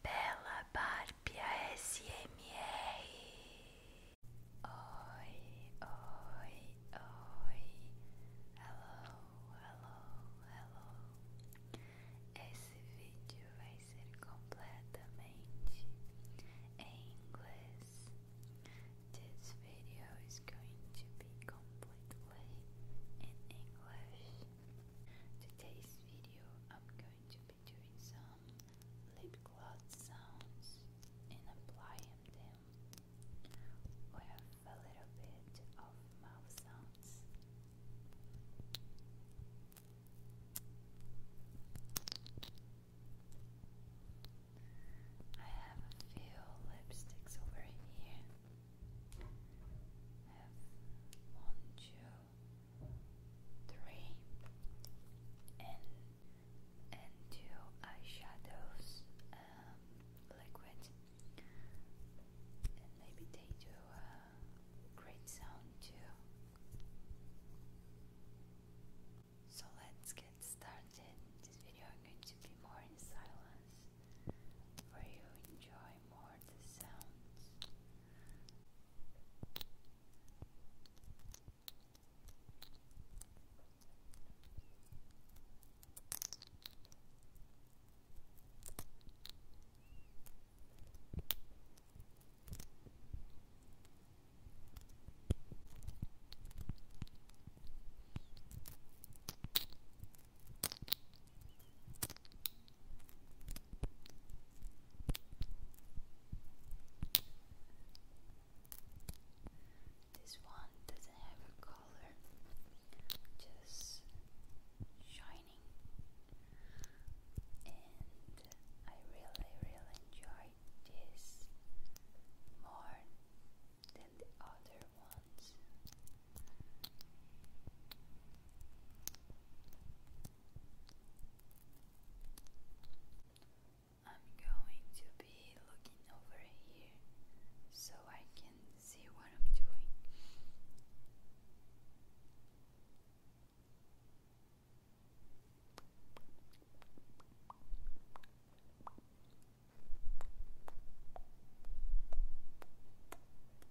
pela Barbia SMR. Oi, oi, oi. Hello, hello, hello. Esse vídeo vai ser completamente em inglês. This video is going to be completely in English. Today's video I'm going to be doing some lip gloss sounds and applying them with a little bit of mouth sounds. I have a few lipsticks over here. have one, two, three, and two eyeshadows, um, liquid, and maybe they do great sound too. So let's get started. This video is going to be more in silence for you enjoy more the sounds. This one doesn't have a color, just shining, and I really, really enjoy this more than the other ones. I'm going to be looking over here so I can see what I'm doing.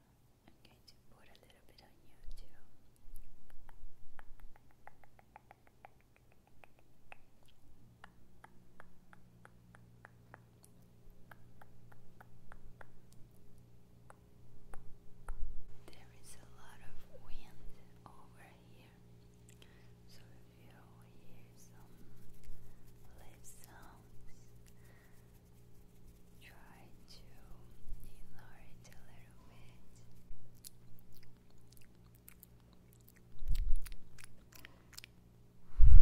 I'm going to put a little bit on you too. There is a lot of wind over here, so if you hear some live try to ignore it a little bit. This hand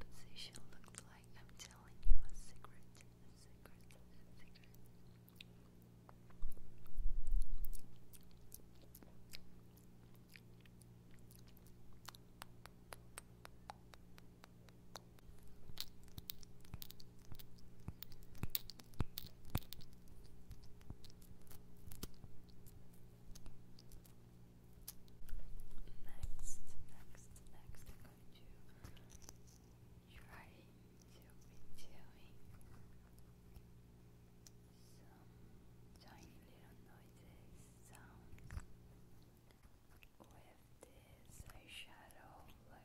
position looks like I'm telling you a secret, a secret, a secret. Next, next, next, I'm going to trying to be little noises, sounds with this eyeshadow liquid.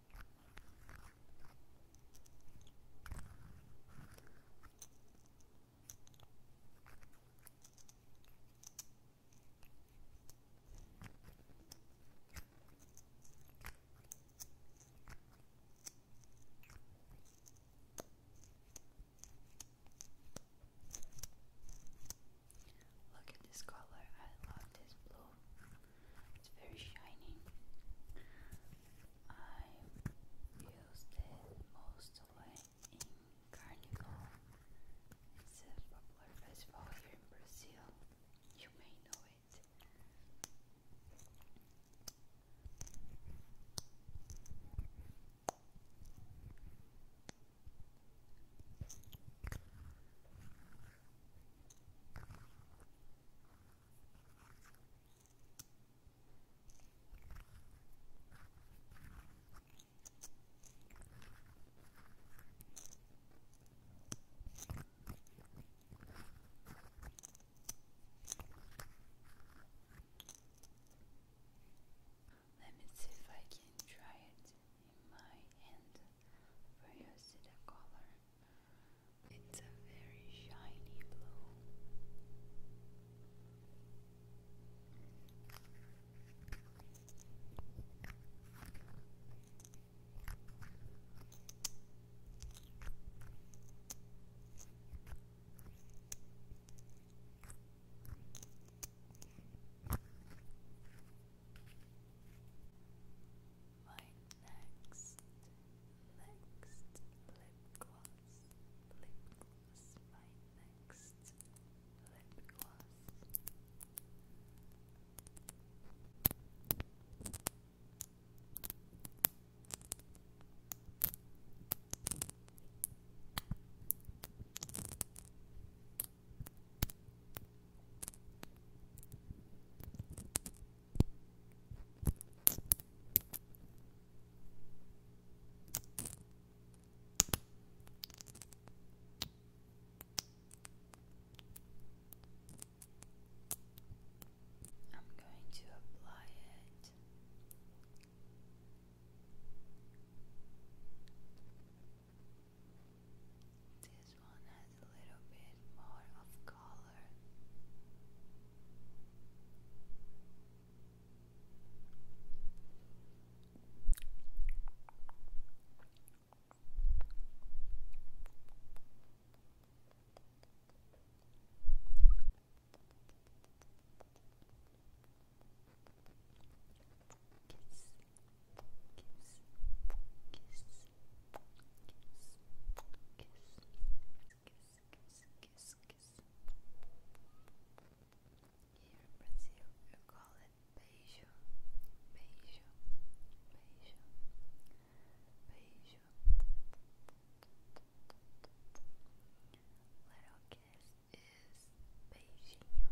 Look at this color. I love this blue. It's very shiny. I used it mostly in Carnival. It's a popular festival here in Brazil. You may know it. Let me see if I can try it in my hand where you see the color. It's a very shiny blue my next, next lip gloss, lip gloss, my next lip gloss. Now I'm going to apply it. This one has a little bit more of color kiss, kiss. Here in Brazil, you call it beijo, beijo, beijo, beijo. Little kiss is beijinho.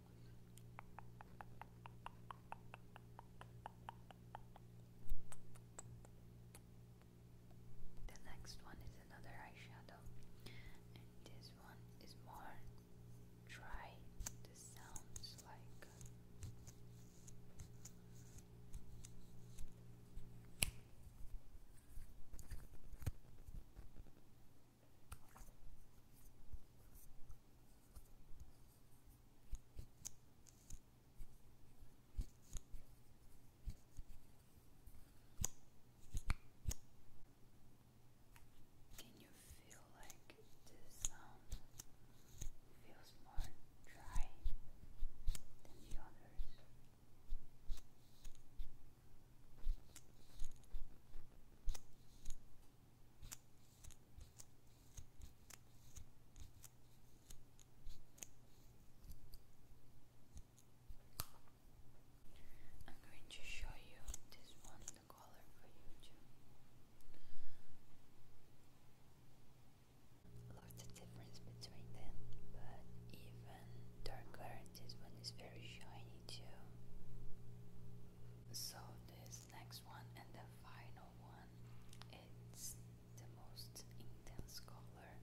The next one is another eyeshadow, and this one is more dry. This sounds like can you feel like this sound feels more dry than the others? I'm going to show you this one, the color for you too. Lots of difference between them, but even darker, this one is very shiny too. So this next one and the final one, it's the most intense color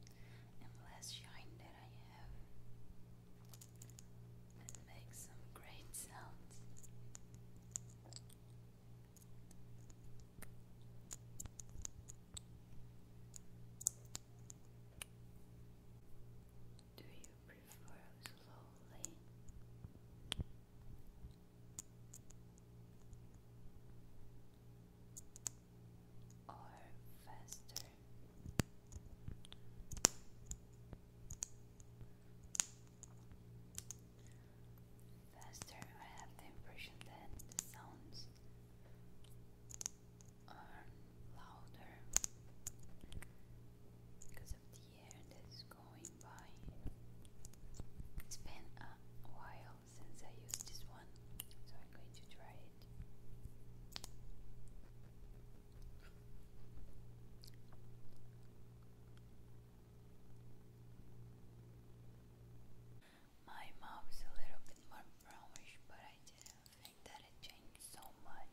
and less shine that I have. It makes some great sounds. Do you prefer slowly? Or faster? Faster, I have the impression that the sounds are louder the year that's going by. It's been a while since I used this one, so I'm going to try it. My mouth's a little bit more brownish, but I didn't think that it changed so much.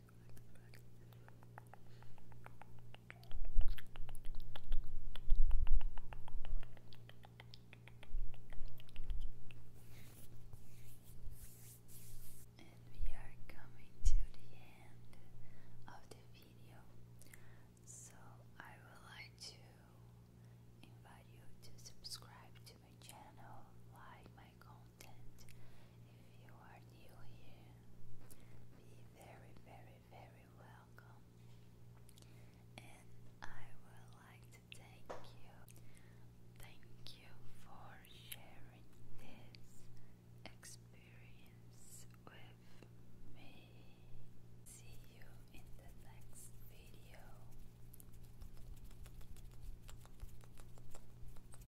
And we are coming to the end of the video. So I would like to invite you to subscribe to my channel, like my content. If you are new here, be very, very, very welcome. And I would like to thank you. Thank you for sharing this experience with me. See you in the next video.